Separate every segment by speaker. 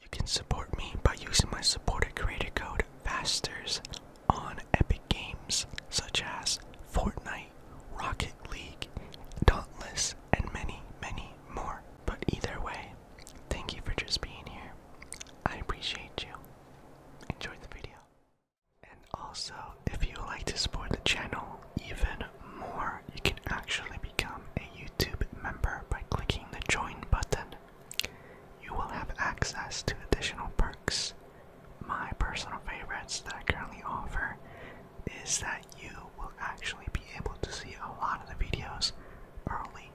Speaker 1: You can support me by using my supported creator code FASTERS on Epic Games such as Fortnite, Rocket League, Dauntless, and many, many more. But either way, thank you for just being here. I appreciate you. Enjoy the video. And also, if you like to support the channel even more, you can actually become a YouTube member by clicking the join button. You will have access to additional perks. My personal favorites that I currently offer is that you will actually be able to see a lot of the videos early,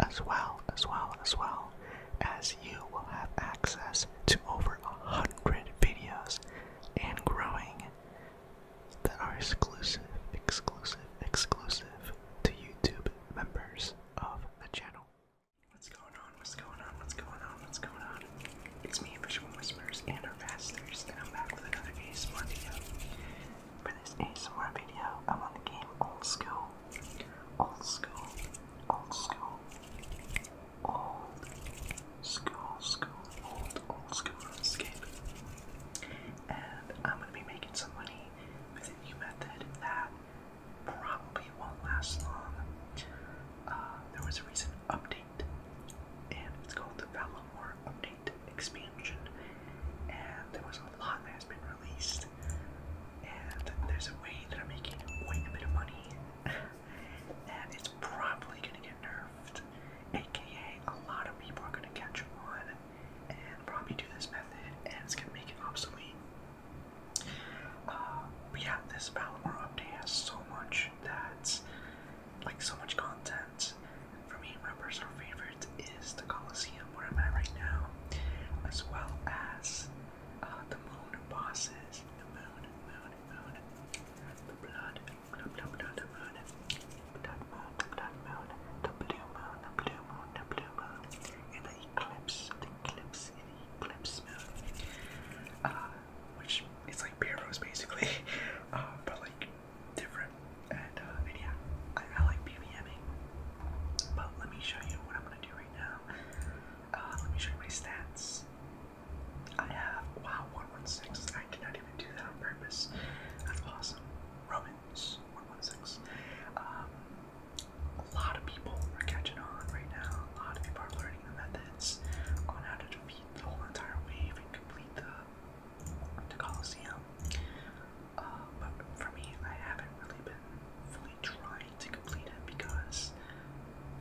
Speaker 1: as well, as well, as well as you will have access to over a hundred videos and growing that are exclusive, exclusive, exclusive to YouTube members of the channel. What's going on? What's going on? What's going on? What's going on? It's me, Visual Whispers, and our masters, and I'm back with another ASMR video. For this ASMR video, I'm on the game Old School. Old School. Old School old school, school, old, old school escape. And I'm gonna be making some money with a new method that probably won't last long. Uh, there was a recent update, and it's called the Valamore Update Expansion. And there was a lot that has been released, and there's a way that I'm making quite a bit of money. and it's probably gonna get nerfed. AKA, a lot of people are gonna catch on and probably do this method, and it's gonna make it obsolete. Uh, but yeah, this Palomar update has so much that's like so much content. For me, my personal favorite is the Colosseum where I'm at right now, as well as uh, the moon bosses, the moon, moon, the blood, the blood, the blood, that moon, that moon, the blue moon, the blue moon, the blue moon, and the eclipse, the eclipse, and the eclipse moon, uh, which is like beer rose basically, uh, but like different, and, uh, and yeah, I, I like PVMing, but let me show you what I'm gonna do right now, uh, let me show you my stats. I have wow 116. I did not even do that on purpose. That's awesome. Romans 116. Um, a lot of people are catching on right now. A lot of people are learning the methods on how to defeat the whole entire wave and complete the the Colosseum. Uh, but for me, I haven't really been fully trying to complete it because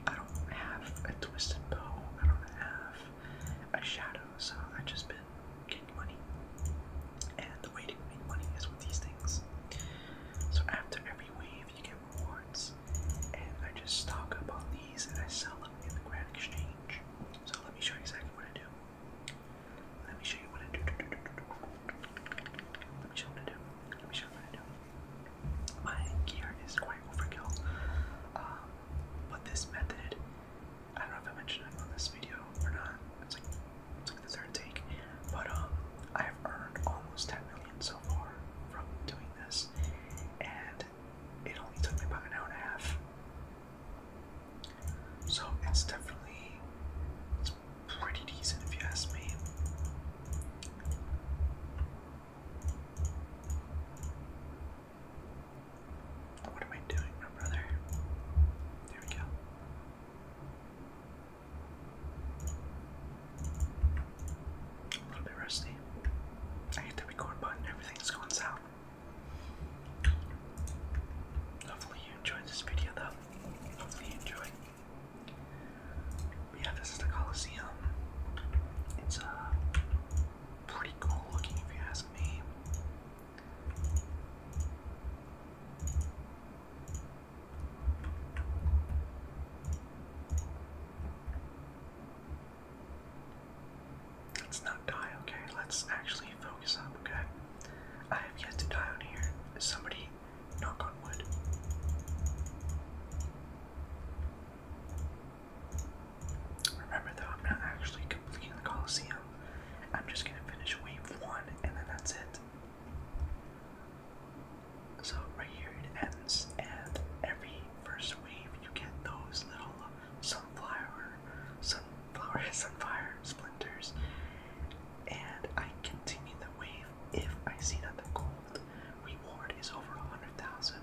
Speaker 1: I don't have a twisted bow, I don't have a shadow, so I've just been getting money. And the way to make money is with these things. So after every wave, you get rewards, and I just stock up on these and I sell them in the Grand Exchange. So let me show you exactly what I do. Let me show you what I do. Let me show what I do. Let me show what I do. My gear is quite overkill, um, but this method, I don't know if I mentioned it on this video or not, it's like, it's like the third take, but um, I have earned almost 10 million so far from doing this, and it only took me about an hour and a half. So it's definitely it's pretty decent if you ask me. What am I doing, my brother? There we go. A little bit rusty. I hit the record button, everything's going south. Hopefully you enjoyed this video though. Hopefully you enjoyed yeah, this is the Colosseum. It's uh, pretty cool looking if you ask me. Let's not die, okay? Let's actually focus up, okay? I have yet to die on here. Somebody knock on wood. Remember though, I'm not actually completing the Colosseum. I'm just gonna finish wave one and then that's it. So right here it ends and every first wave you get those little sunflower sunflower sunfire splinters and I continue the wave if I see that the gold reward is over a hundred thousand.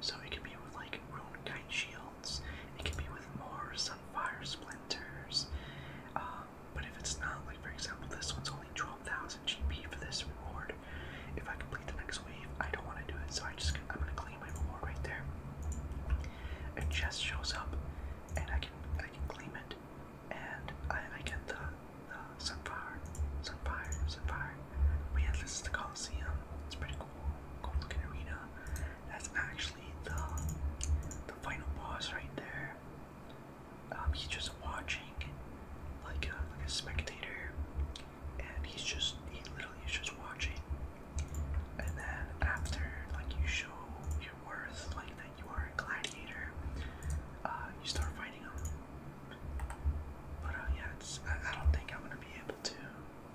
Speaker 1: So it could be with like rune kite shields, it could be with more sunfire splinters. Um, but if it's not, like for example, this one's only 12,000 GP for this reward. If I complete the next wave, I don't want to do it, so I just I'm gonna claim my reward right there. A chest shows up, and I can I can claim it, and I, I get the the Sunfire, Sunfire, Sunfire. But yeah, this is the Coliseum. It's pretty cool. Cool looking arena. That's actually the the final boss right there. Um, he's just watching, like a, uh, like a spectator, and he's just he literally is just watching. And then after, like you show your worth, like that you are a gladiator, uh, you start fighting him. But uh, yeah, it's, I, I don't think I'm gonna be able to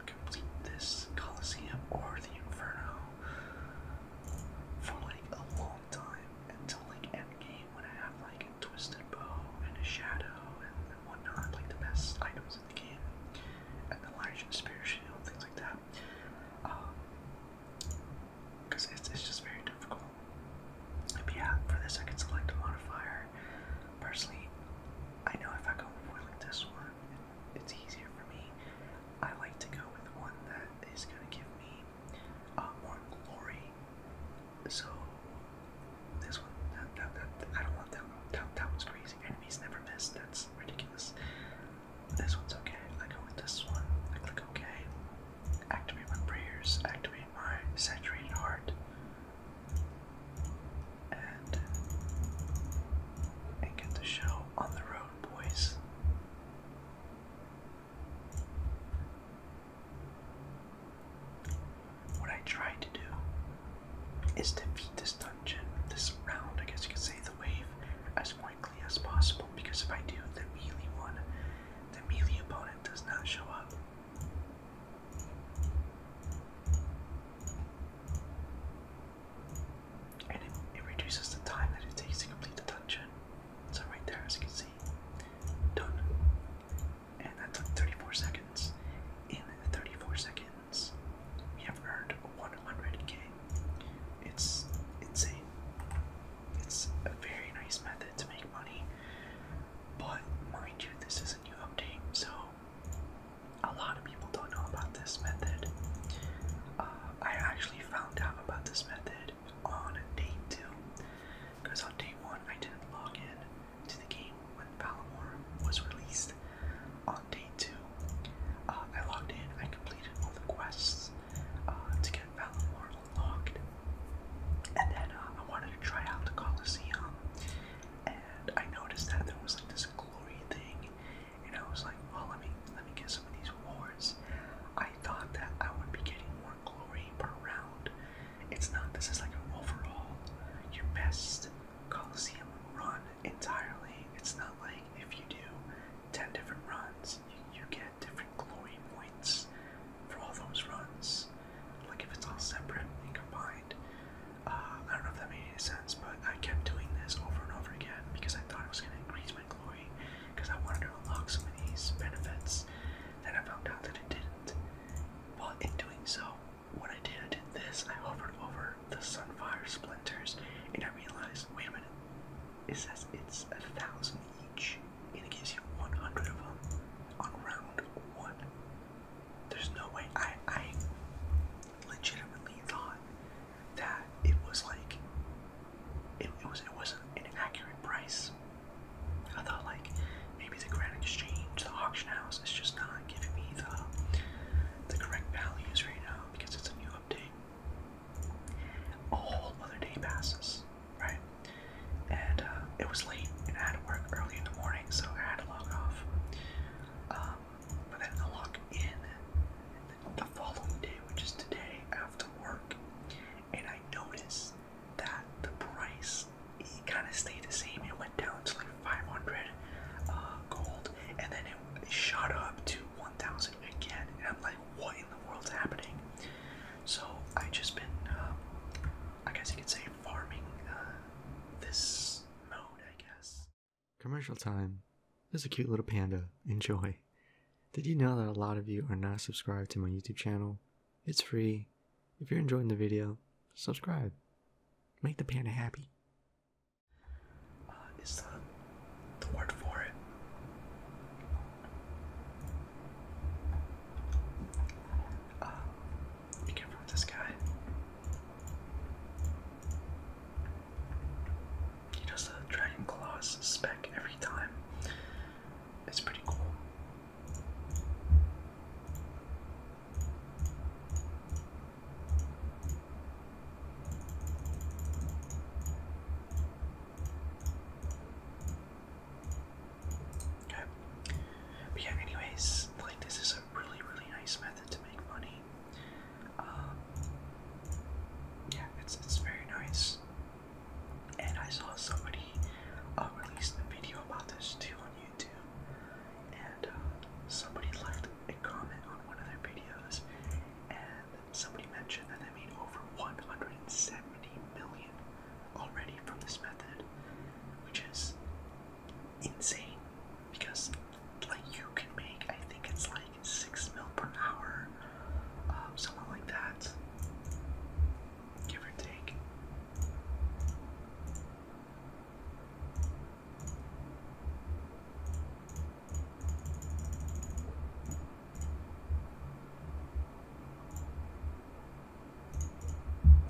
Speaker 1: complete this Coliseum or the Inferno for like a long time until like endgame when I have like a twisted bow and a shadow and, and whatnot, like the best items in the game, and the Lyrian spear shield, things like that. because um, it's, it's just very difficult yeah, for this I could select a modifier. Personally, I know if I go with this one, it's easier for me. I like to go with one that is going to give me uh, more glory. So this one, that, that, that, I don't want that one. That, that one's crazy. Enemies never miss. That's ridiculous. This one's okay. I go with this one. click OK. Activate my prayers, activate my saturated heart, and, get the show on the road, boys. What I tried to do is defeat this dungeon, this round, I guess you could say, the wave, as quickly as possible. Because if I do, the melee one, the melee opponent does not show up. And it, reduces the time that it takes to complete the dungeon. So right there, as you can see, done. And that took 34 seconds. In 34 seconds, we have earned 100k. It's insane. It's a very nice method to make money. But mind you, this is a new update, so a lot of people don't know about this method. Uh, I actually found out about this method on day two, because on day one I didn't log in to the game when Palamore was released. On day two, uh, I logged in, I completed all the quests uh, to get Valamore looked. And then uh, I wanted to try out the Colosseum, and I noticed that there was like this glory thing, and I was like, well, let me let me get some of these awards. I thought that I would be getting more glory per round. It's not. This is like an overall, your best Colosseum run entirely. It's not like if you do ten different runs, you get different Glory points for all those runs. Like if it's all separate and combined. Uh, I don't know if that made any sense, but I kept doing this over and over again because I thought it was going to increase my glory because I wanted to unlock some of these benefits. Then I found out that it didn't. But in doing so, what I did, I did this. I hovered over the Sunfire Splinters and I realized, wait a minute, it says it's a thousand each and it gives you 100 of them on round one. There's no way I I legitimately thought that it was like it, it was it was an accurate price. I thought like maybe the Grand Exchange, the auction house is just not giving me the the correct values right now because it's a new update. A whole other day passes right? And uh, it was late, and I had to work early in the morning, so I had to log off. Um, but then I log in the following day, which is today after work, and I noticed that the price it kind of stayed the same. It went down to like 500 uh, gold, and then it, shot up to 1,000 again. And I'm like, what in the world's happening? So I just been uh, I guess you could say farming uh, this mode, I guess. Commercial time. There's a cute little panda. Enjoy. Did you know that a lot of you are not subscribed to my YouTube channel? It's free. If you're enjoying the video, subscribe. Make the panda happy. Uh, the word for it? Uh, can from this guy. He does the Dragon Claws spec every time. It's pretty cool. Okay. But yeah, anyways, like this is a really, really nice method to make money. Um, yeah, it's it's very nice. And I saw somebody uh, released a video about this too on YouTube, and uh, somebody left a comment on one of their videos, and somebody mentioned that they made over 170 million already from this method, which is insane because like you can make I think it's like six mil per hour, um, something like that, give or take.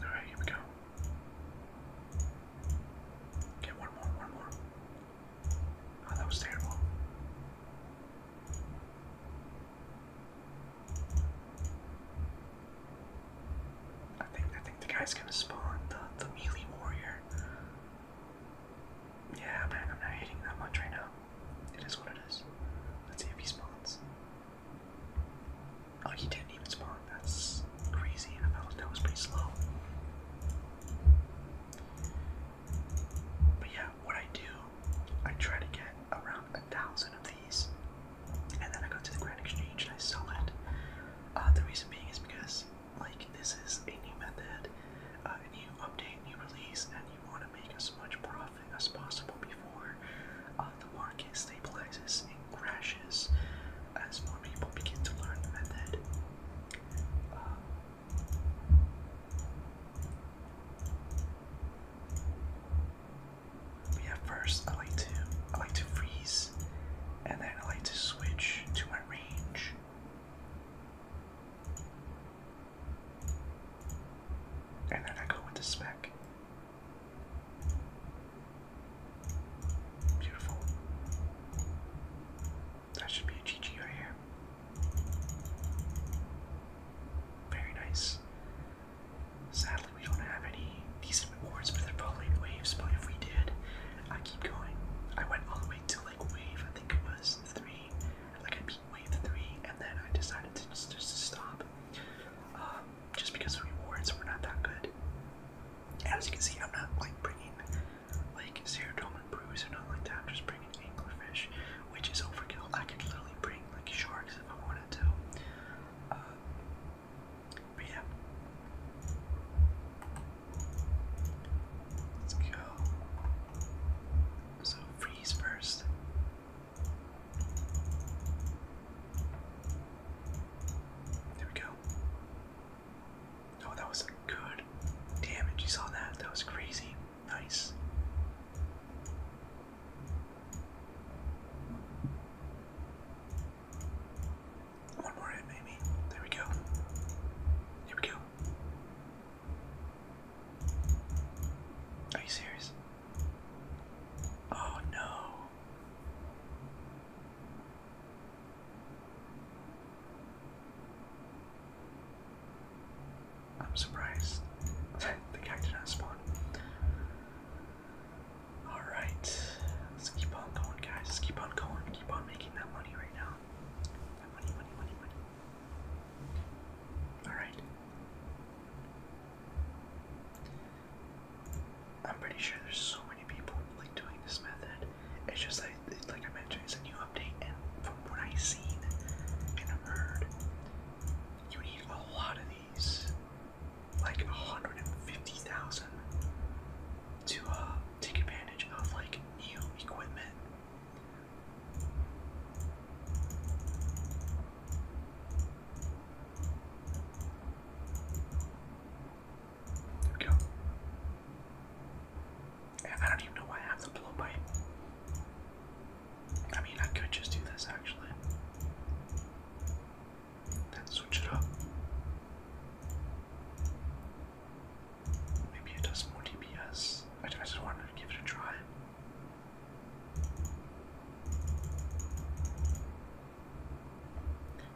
Speaker 1: Alright, here we go. Okay, one more, one more. Oh, that was terrible. I think I think the guy's gonna spawn the, the melee warrior. Yeah, man, I'm not hitting that much right now. It is what it is. Let's see if he spawns. Oh, he didn't even spark. That's crazy. I felt like that was pretty slow. But yeah, what I do, I try to get around a thousand of these, and then I go to the Grand Exchange and I sell it. Uh, the reason being is because, like, this is a new method, uh, a new update, new release, and you want to make as much profit as possible before uh, the market stabilizes and crashes as more people begin to learn the method. yeah, first I like to I like to freeze, and then I like to switch to my range. And then I go into spec. Beautiful. That should be a GG right here. Very nice. Sadly, we don't have any decent rewards, but they're probably waves. But if we did, I keep going. I went all the way to like wave, I think it was three. Like I beat wave three, and then I decided to just, just stop. Um, just because the rewards were not that good. As you can see, I'm not like bringing like serotonin brews or not like that. I'm just bringing anglerfish, which is overkill. I could literally bring like sharks if I wanted to. Uh, but yeah, let's go. So freeze first. There we go. Oh, that was a good it! You saw that? That was crazy. Nice. One more hit, maybe. There we go. Here we go. Are you serious? Oh no. I'm surprised the guy did not spawn. Alright, let's keep on going, guys. keep on going. Keep on making that money right now. That money, money, money, money. Alright. I'm pretty sure there's so many people like doing this method. It's just like like I mentioned, it's a new update, and from what I've seen and heard, you need a lot of these, like 150,000, to uh, take advantage of like new equipment. There we go. I don't even know why I have the blowpipe. I mean, I could just do this actually. Then switch it up. Maybe it does more DPS. I just wanted to give it a try.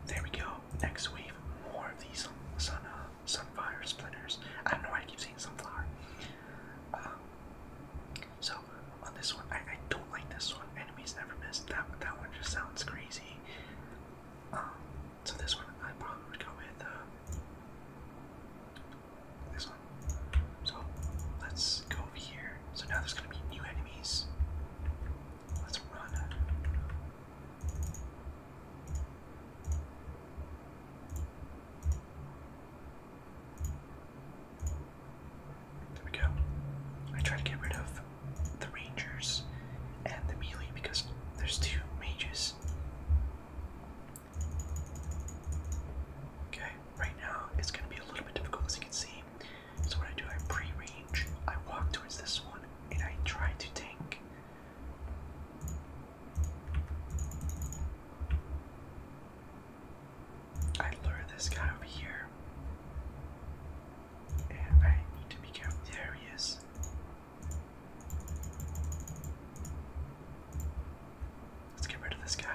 Speaker 1: There we go. Next wave, more of these sun, uh, sunfire splinters. I don't know why I keep saying sunflower. Um, so on this one, I, I don't like this one. Enemies never miss. That that one just sounds crazy. Um, so this one I probably would go with. Uh, this one so let's go over here. So now there's gonna be new enemies. Let's run. There we go. I try to get rid of the rangers and the melee because there's two mages. Okay right now it's going to be a little bit difficult as you can see. So what I do, I pre-range, I walk towards this one, and I try to tank. I lure this guy over here. And I need to be careful. There he is. Let's get rid of this guy.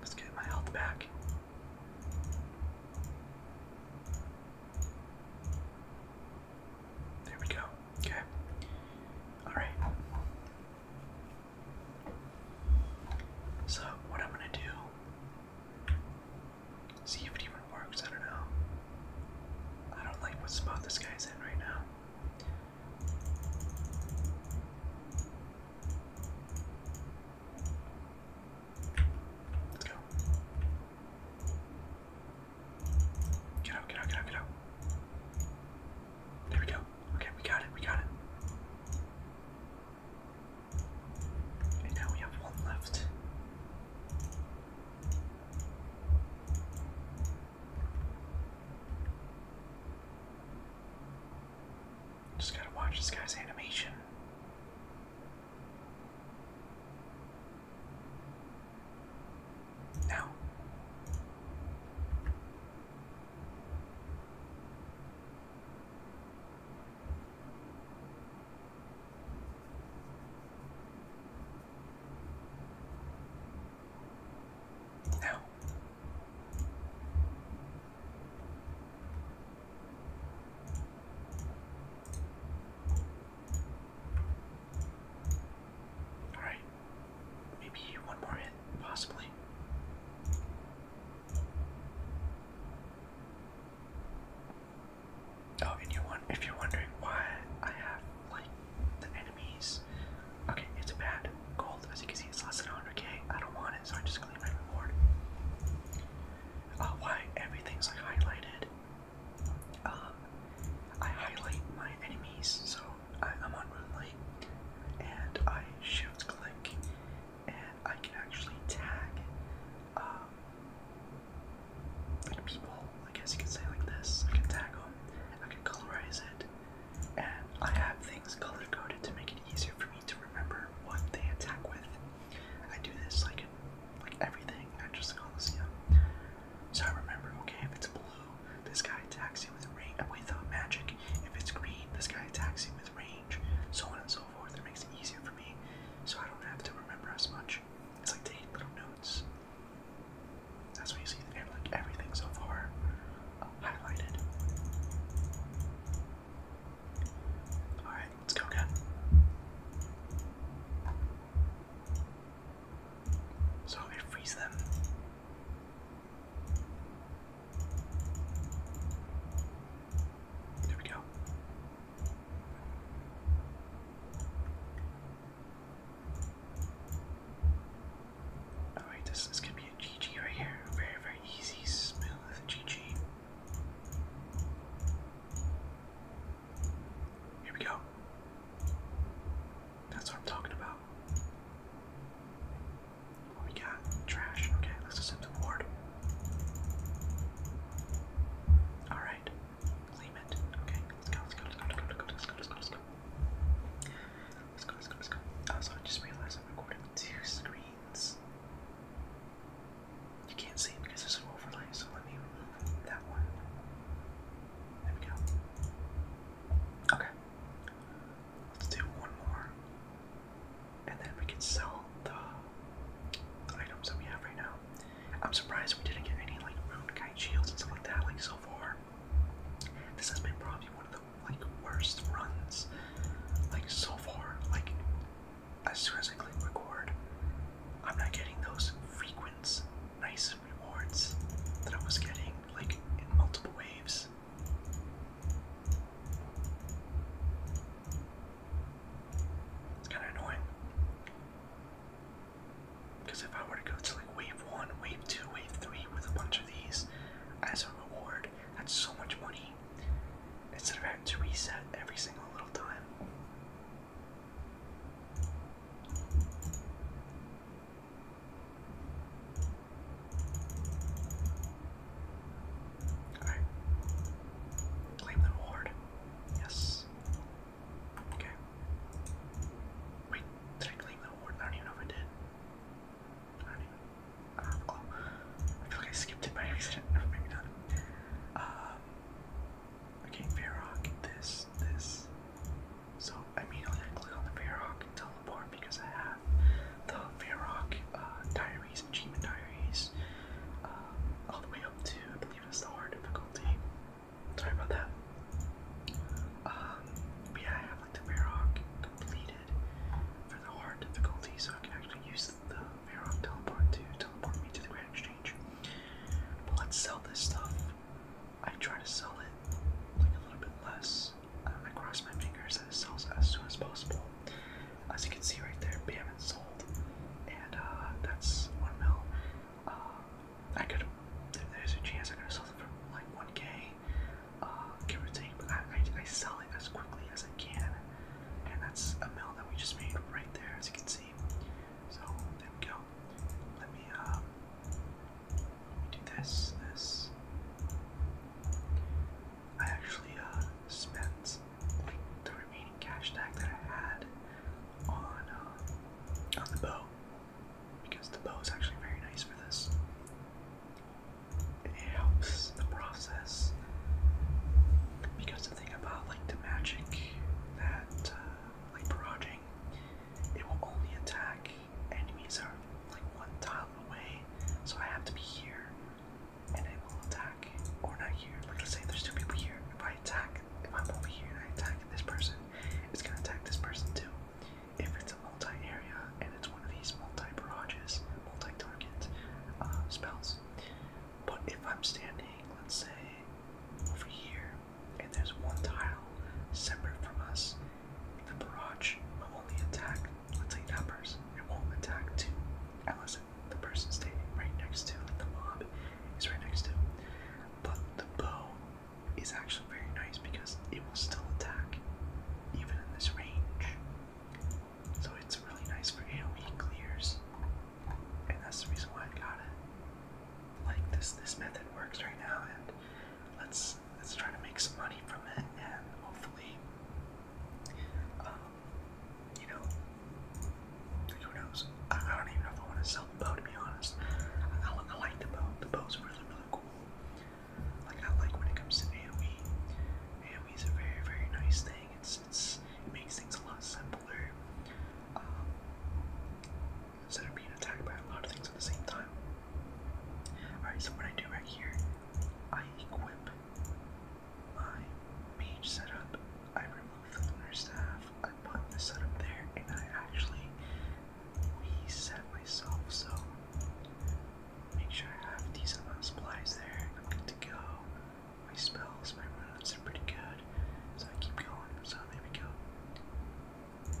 Speaker 1: Let's get my health back. There we go. Okay. Alright. So, what I'm gonna do. See if it even works. I don't know. I don't like what spot this guy's in right now. Let's go. Get out, get out, get out, get out. There we go. Okay, we got it, we got it. And now we have one left. Just gotta watch this guy's animation. Now. Alright. Maybe one more hit, possibly. Oh, and you want if you're wondering why I have like the enemies Okay, it's a bad. Gold, as you can see, it's less than 100k. I don't want it, so I just clean my reward. Uh, why everything's like highlighted? Um, I highlight my enemies, so I, am on Moonlight, and I shift click, and I can actually tag, um, people. I guess you could say like this. I can tag them. I can colorize it and I have things color coded to make it easier for me to remember what they attack with. I do this like like everything, not just the Coliseum. So I remember, okay, if it's blue, this guy attacks you with range without uh, magic. If it's green, this guy attacks you with range, so on and so forth. It makes it easier for me, so I don't have to remember as much. It's like taking little notes. That's what you see in like everything so far highlighted. Alright, let's go again. So they freeze them. There we go. Oh, Alright, this is going be a GG right here. Very, very easy, smooth GG. Here we go. That's what I'm talking about. What we got? Trash. Okay, let's just send the ward. Alright. Claim it. Okay, let's go, let's go, let's go, let's go, let's go, let's go. Let's go. Let's go, let's go, let's go. Also, oh, I just realized I'm recording two screens. You can't see because there's an overlay, so let me remove that one. There we go. Okay. Let's do one more. And then we can sell the items that we have right now. I'm surprised we didn't get any like rune shields and stuff like that, like so far. This has been probably one of the like worst runs like so far. Like as soon as I click record, I'm not getting those frequent nice rewards that I was getting like in multiple waves. It's kind of annoying. Because if I were to go to like wave 1, wave 2, wave 3 with a bunch of these as a reward, that's so much money. Instead of having to reset every single little time. Alright. Claim the reward. Yes. Okay. Wait, did I claim the award? I don't even know if I did. I don't have a clue. I feel like I skipped it by accident. No, maybe not. Um, okay, this, this. So I immediately click on the Fairhawk and teleport because I have the Fairhawk uh, diaries, achievement diaries, um, all the way up to, I believe it's the hard difficulty. Sorry about that. Um, but I have like the Fairhawk completed for the hard difficulty, so I can actually use the Varrock teleport to teleport me to the Grand Exchange. But let's sell this stuff. I try to sell it like a little bit less. Um, I cross my fingers that it sells as soon as possible. As you can see right there, bam, it's sold. And uh, that's one mil. Uh, I could. if There's a chance I could have sold it for like 1k uh, give I, I, sell it as quickly as I can, and that's a mill that we just made right there, as you can see. So there we go. Let me uh, let me do this. This. I actually uh, spent like the remaining cash tag that I had on uh, on the bow because the bow is actually very nice for this it helps the process because the thing about like the magic that uh, like barraging, it will only attack enemies are like one tile away, so I have to be here and it will attack or not here. Like let's say there's two people here. If I attack, if I'm over here and I attack this person, it's gonna attack this person too if it's a multi-area and it's one of these multi-barrages, multi-target uh, spells. But if I'm standing, let's say, over here, and there's one tile separate from us, the barrage will only attack, let's say, that person. It won't attack two, unless the person standing right next to, the mob is right next to. But the bow is actually very nice because it will still attack even in this range. So it's really nice for AoE clears. And that's the reason why I got it. Like this this method works right now and let's let's try to make some money from it and hopefully um, you know who knows? I, don't even know if I want to sell the bow to be honest. I, like the bow. The bow's really really cool like I like when it comes to AoE. AoE is a very very nice thing. It's, it's it makes things a lot simpler. Um, instead of being attacked by a lot of things at the same time. Alright, so what I do right here, I equip my mage setup, I remove the lunar staff, I put the setup there, and I actually reset myself. So Make sure I have decent supplies there. I'm good to go. My spells, my runes are pretty good. So I keep going. So there we go.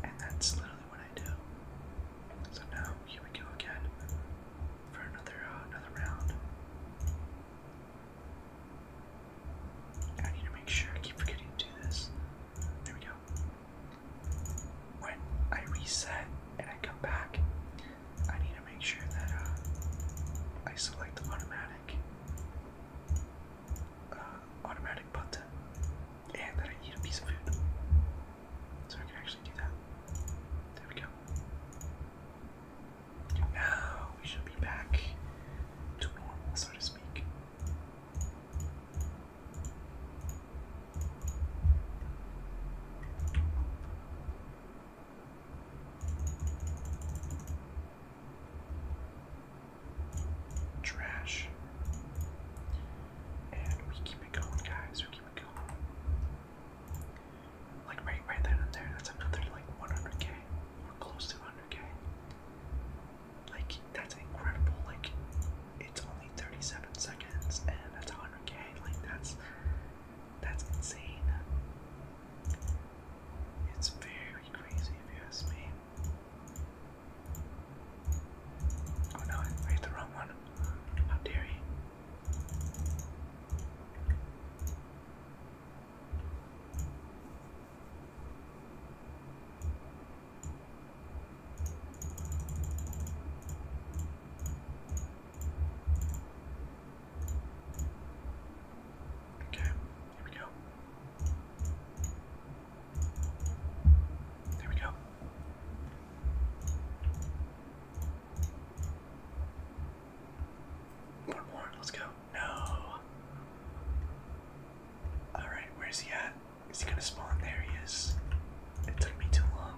Speaker 1: And that's literally what I do. So now here we go again for another uh, another round. I need to make sure I keep forgetting to do this. There we go when I reset and I come back, I need to make sure that uh, I select automatic uh, automatic button and that I eat a piece of food. So I can actually do that. There we go. Now we should be back to normal, so to speak. Trash. And we keep it going, guys. We keep it going. Like right, right there there. That's another like 100k or close to 100k. Like that's incredible. Like it's only 37 seconds and that's 100k. Like that's that's insane. It's very crazy if you ask me. Oh no, I hit the wrong one. How dare he? Okay, here we go. There we go. One more, let's go. No. Alright, where's he at? Is he gonna spawn? There he is. It took me too long.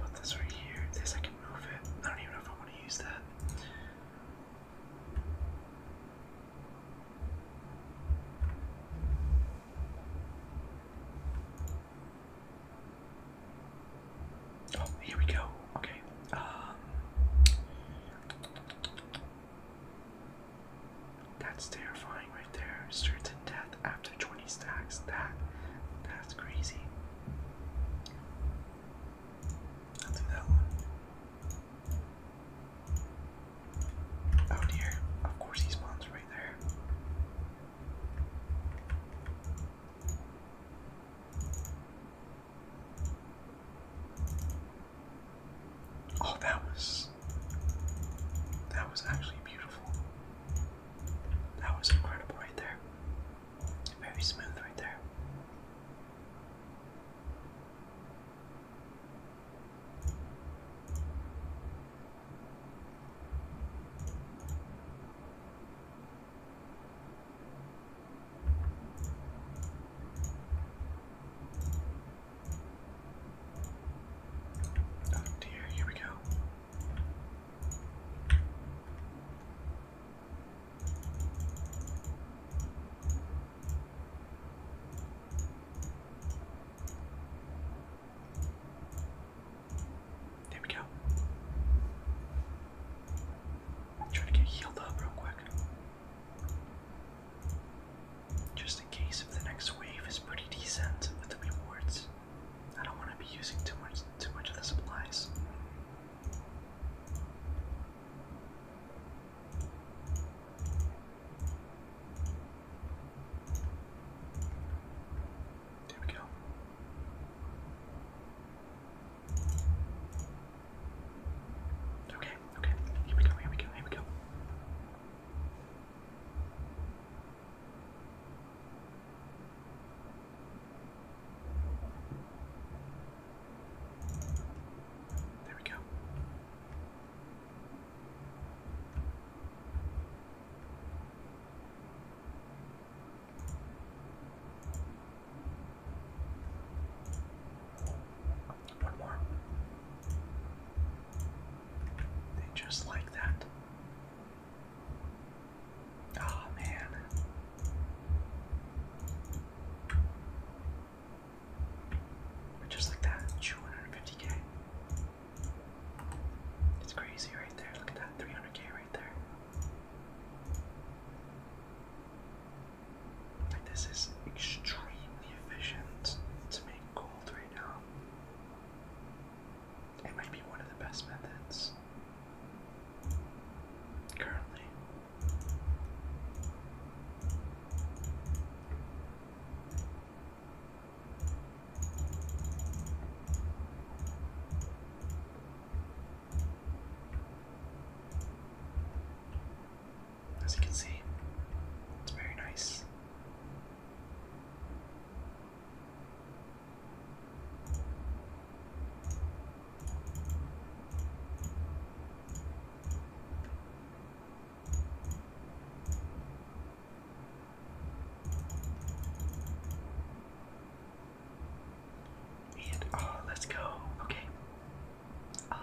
Speaker 1: put this right here. This I can move it. I don't even know if I want to use that. Oh, here we go. Okay. Um, that's terrifying right there. Certain death after 20 stacks. That that's crazy. I'll that one. Oh dear, of course he spawns right there. Oh, that was that was actually beautiful. That was incredible right there. Very smooth right there. Oh dear, here we go. There we go. Try to get healed up real quick. Just in case if the next wave is pretty decent with the rewards. I don't want to be using too much too much of the supplies. There we go. Okay, okay. Here we go, here we go, here we go. There we go. One more. just like that. Oh man. But just like that, 250k. It's crazy right there. Look at that 300k right there. Like, this is extremely efficient to make gold right now. It might be one of the best methods currently. As you can see, it's very nice. Uh, let's go. Okay. Um,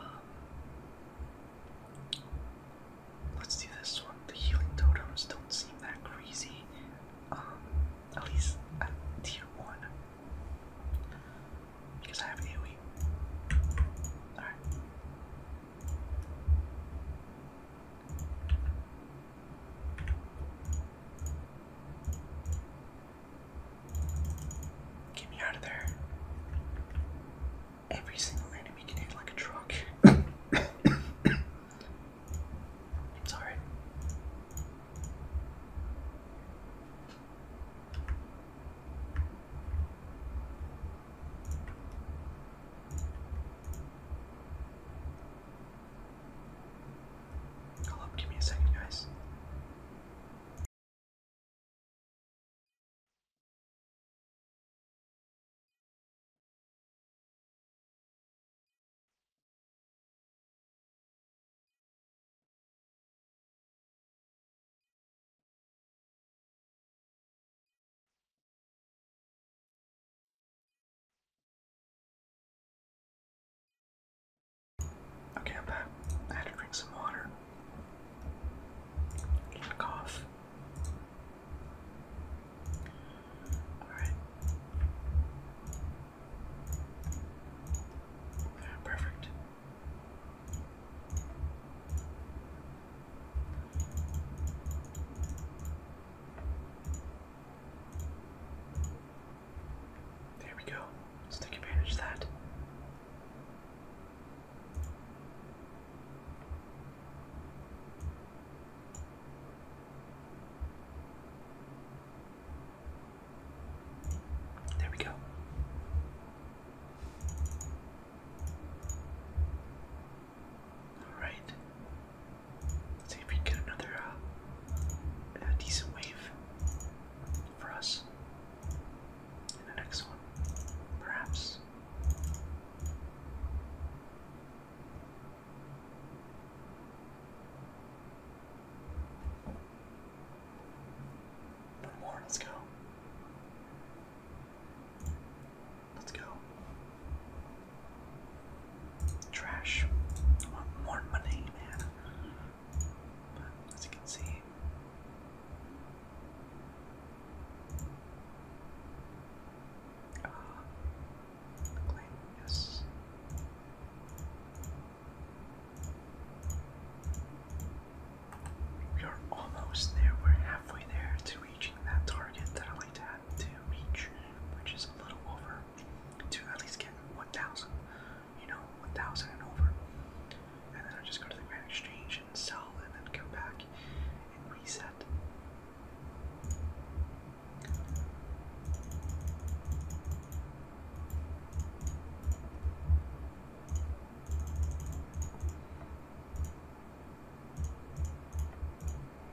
Speaker 1: let's do this one. The healing totems don't seem that crazy. Um, at least tier one, because I have AOE. All right. Get me out of there. Every single enemy can hit like a truck. it's alright. Hold up, give me a second, guys. Okay, I'm back. I had to drink some water. cough. Alright. Perfect. There we go. Let's take advantage of that. There we go. Alright. Let's see if we can get another uh, decent wave for us in the next one, perhaps. One more, let's go. Let's go. Trash. I want more money, man. as you can see. Uh, claim, yes. We are almost there. We're halfway there to reaching that target that I like to have to reach which is a little over, to at least get 1,000, you know, 1,000 and over. And then I just go to the Grand Exchange and sell, and then come back and reset.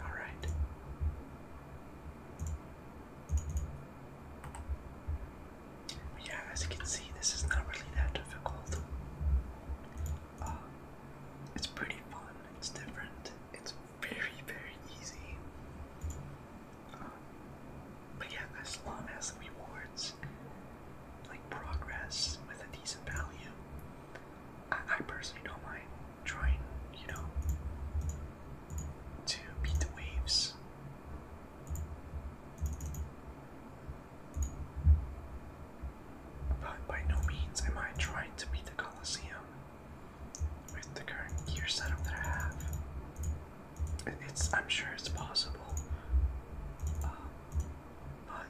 Speaker 1: All right. Yeah, as you can see, this is not really that difficult. Um, it's pretty fun, it's different, it's very, very easy. Um, but yeah, as long as the rewards like progress with a decent value, I, personally don't mind trying, you know, to beat the waves. But by no means am I trying to beat the Colosseum with the current gear setup that I have. It's I'm sure it's possible, uh, but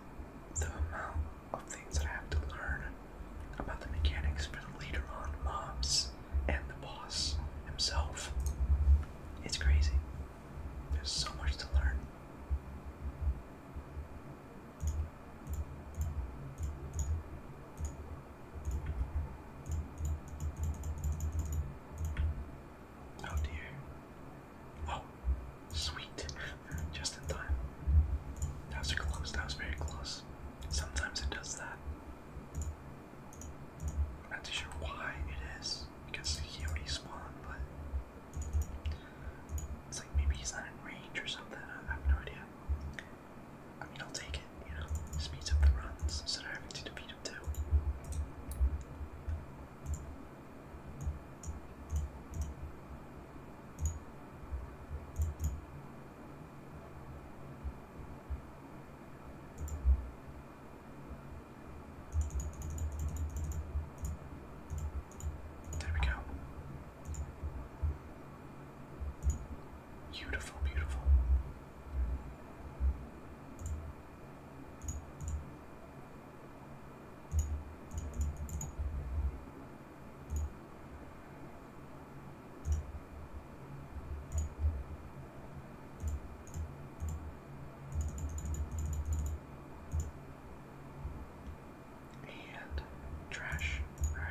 Speaker 1: the amount of things that I have to learn about the mechanics for the later on mobs and the boss himself. It's crazy. There's so much to learn. Oh dear. Oh, Sweet. Just in time. That was close. That was very close. Sometimes it does that. I'm not too sure why it is. Because he already spawned, but it's like maybe he's not in range or something. I have no idea. I mean, I'll take it, you know. Speeds up the runs instead of having to defeat him too. There we go. Beautiful, beautiful. And trash. Alright.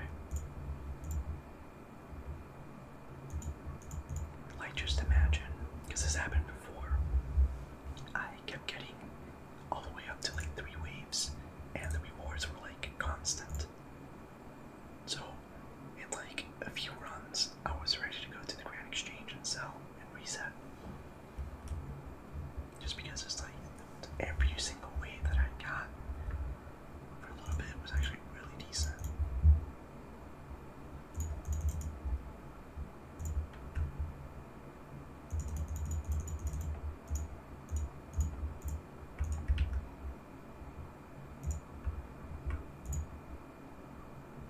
Speaker 1: Like, just imagine, because this happened before. I kept getting all the way up to like three waves, and the rewards were like constant. So, in like a few runs, I was ready to go to the Grand Exchange and sell and reset. Just because it's like every single wave that I got for a little bit was actually really decent.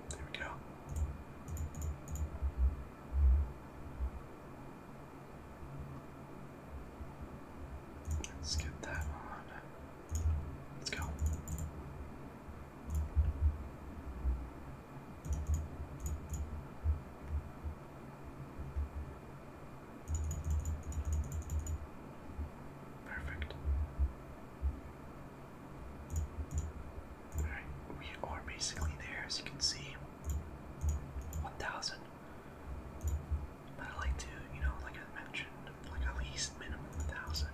Speaker 1: There we go. Let's get that on. Let's go. Perfect. Alright, we are basically there as you can see. 1000. But I like to, you know, like I mentioned, like at least minimum 1000.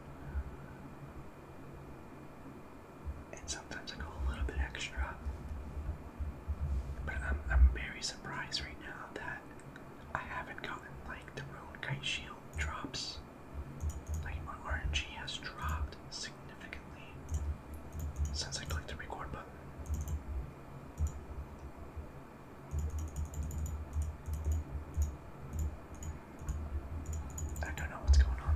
Speaker 1: And sometimes I go a little bit extra. But I'm, I'm very surprised right now that I haven't gotten like the rune Kite Shield drops. Like my RNG has dropped significantly since I clicked the record button. I don't know what's going on.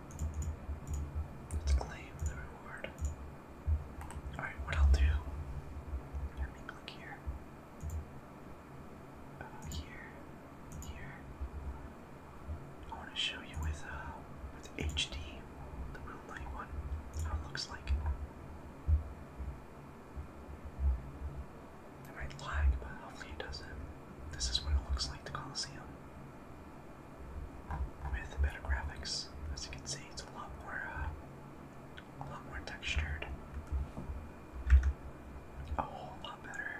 Speaker 1: Let's claim the reward. Alright, what I'll do. Let me click here. Uh, here. Here. I want to show you with uh, with HD, the real light one, how it looks like. It might lag, but hopefully it doesn't. This is what it looks like, the Colosseum with better graphics. As you can see, it's a lot more, uh, a lot more textured, a whole lot better.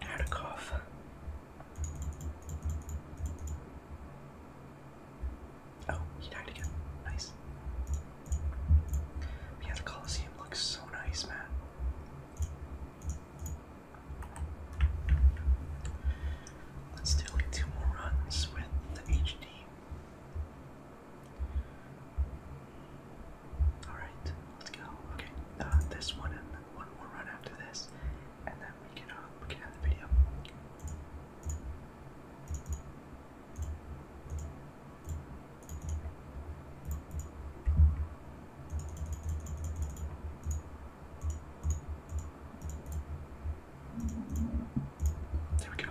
Speaker 1: How to cough. Oh, he died again. Nice. Yeah, the Colosseum looks so nice, man. Let's do like two more runs with the HD. Alright, let's go. Okay, uh, this one and one more run after this, and then we can, uh, we can the video. There we go.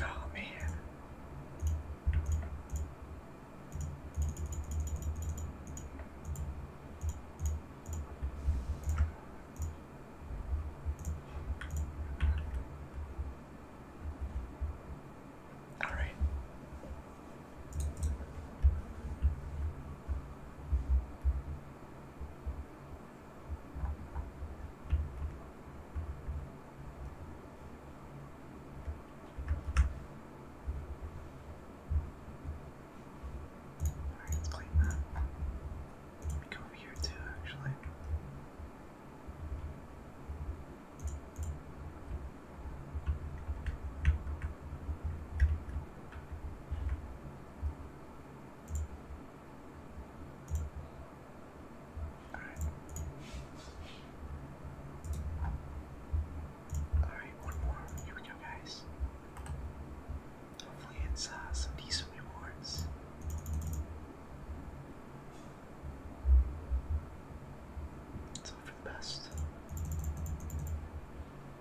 Speaker 1: Oh man. All right. Alright, let's clean that. Let me go over here too, actually. All right. one more. Here we go, guys. Hopefully, it's uh, some decent rewards. Let's for the best.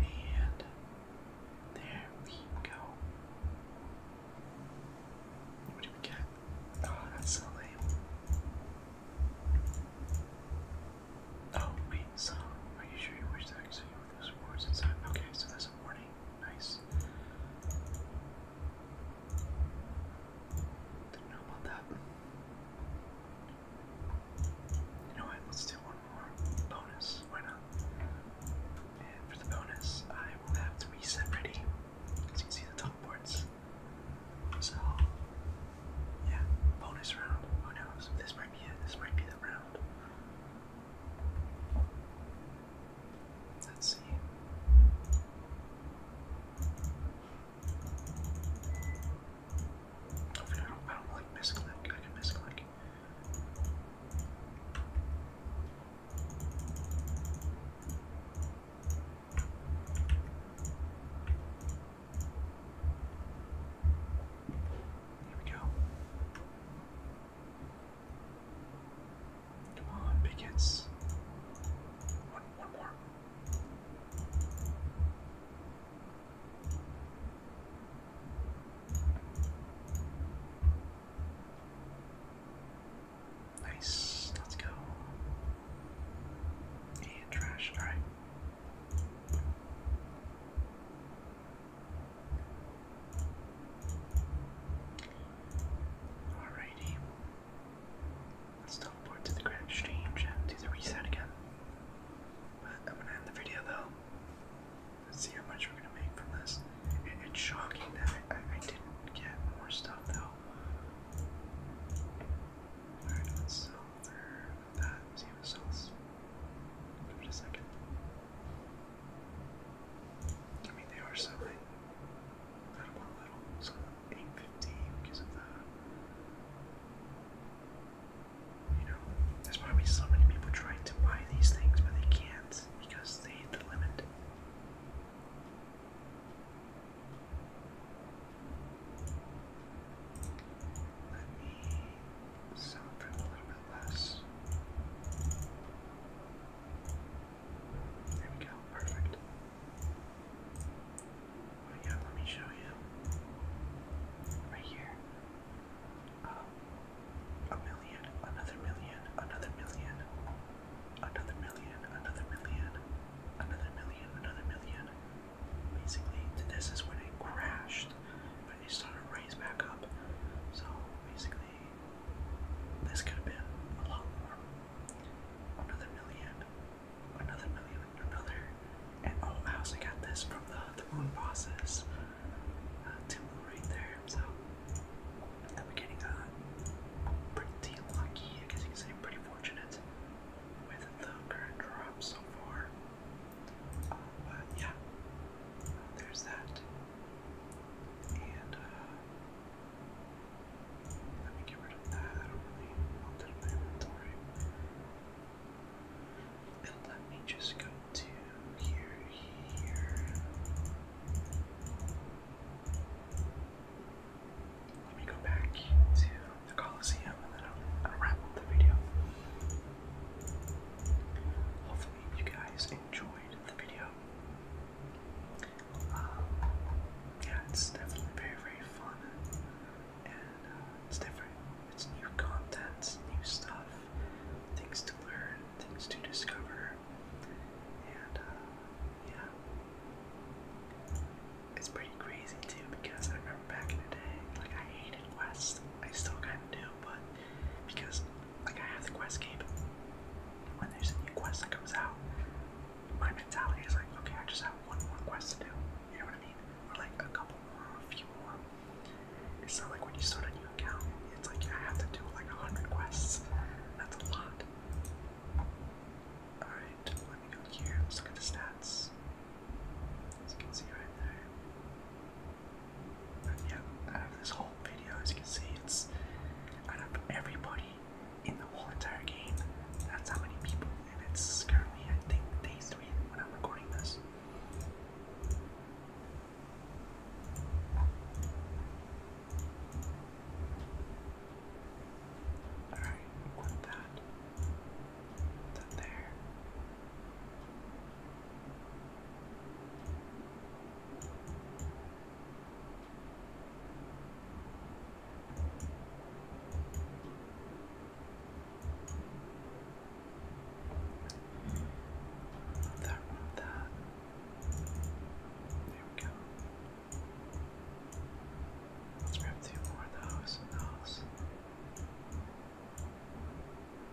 Speaker 1: And there we go. What do we get? Oh, that's so lame. Oh, wait, so are you sure you wish to exit with those words inside? Okay, so that's a warning. Nice. Didn't know about that. You Let's do one more bonus. Why not? And for the bonus, I will have to reset pretty. As you can see the top boards. So yeah, bonus round. Who knows? This might be it. This might be the round. Let's see. Hopefully, I don't, I don't like misclick. I can misclick. There we go. Come on, big One, one more. Nice, let's go. trash, alright. Alrighty. Let's teleport to the Grand Exchange and do the reset again. But I'm gonna end the video though. Let's see how much we're gonna make from this. it's shocking that I, I, didn't get more stuff though. Alright, let's sell that tomato sauce. Give it a second. I mean, they are selling that a little, so eight fifty because of the. You know, there's probably so many people trying to buy these things, but they can't because they hit the limit. Let me celebrate a little bit less. There we go, perfect. Oh yeah, let me show you. Right here. Um, a million, another million, another million, another million, another million, another million, another million, basically this is when it crashed, but it started to raise back up. So basically, this could have been a lot more. Another million, another million, another, and oh, I also got this from the the moon bosses. Uh, two right there. So I'm getting a uh, pretty lucky, I guess you could say, pretty fortunate with the current drop so far but yeah, there's that. And uh, let me get rid of that. I don't really want that in my inventory. And let me just go to here, here. Let me go back to the Colosseum, and then I'll, wrap up the video. Hopefully, you guys enjoyed the video. Um, yeah, it's definitely very, very fun, and uh, it's different. It's new content, new stuff, things to learn, things to discover, and uh, yeah it's pretty crazy too because I remember back in the day, like I hated quests. I still kind of do, but because like I have the quest game, when there's a new quest that comes out, my mentality is like, okay, I just have one more quest to do. You know what I mean? Or like a couple more, a few more. It's not like when you start a new account, it's like I have to do like a hundred quests. That's a lot. Alright, let me go here. Let's look at the stats. As you can see right there. And yeah, this whole video, as you can see, it's out of everybody in the whole entire game. That's how many people, and it's currently, I think, day three when I'm recording this. Alright, we that that there. that, remove There we go. grab two more of those.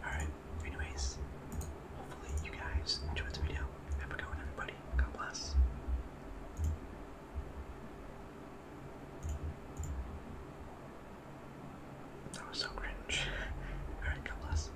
Speaker 1: Alright, anyways, hopefully you guys enjoyed this video. Have a good one, everybody. God bless. That was so cringe. Alright, God bless.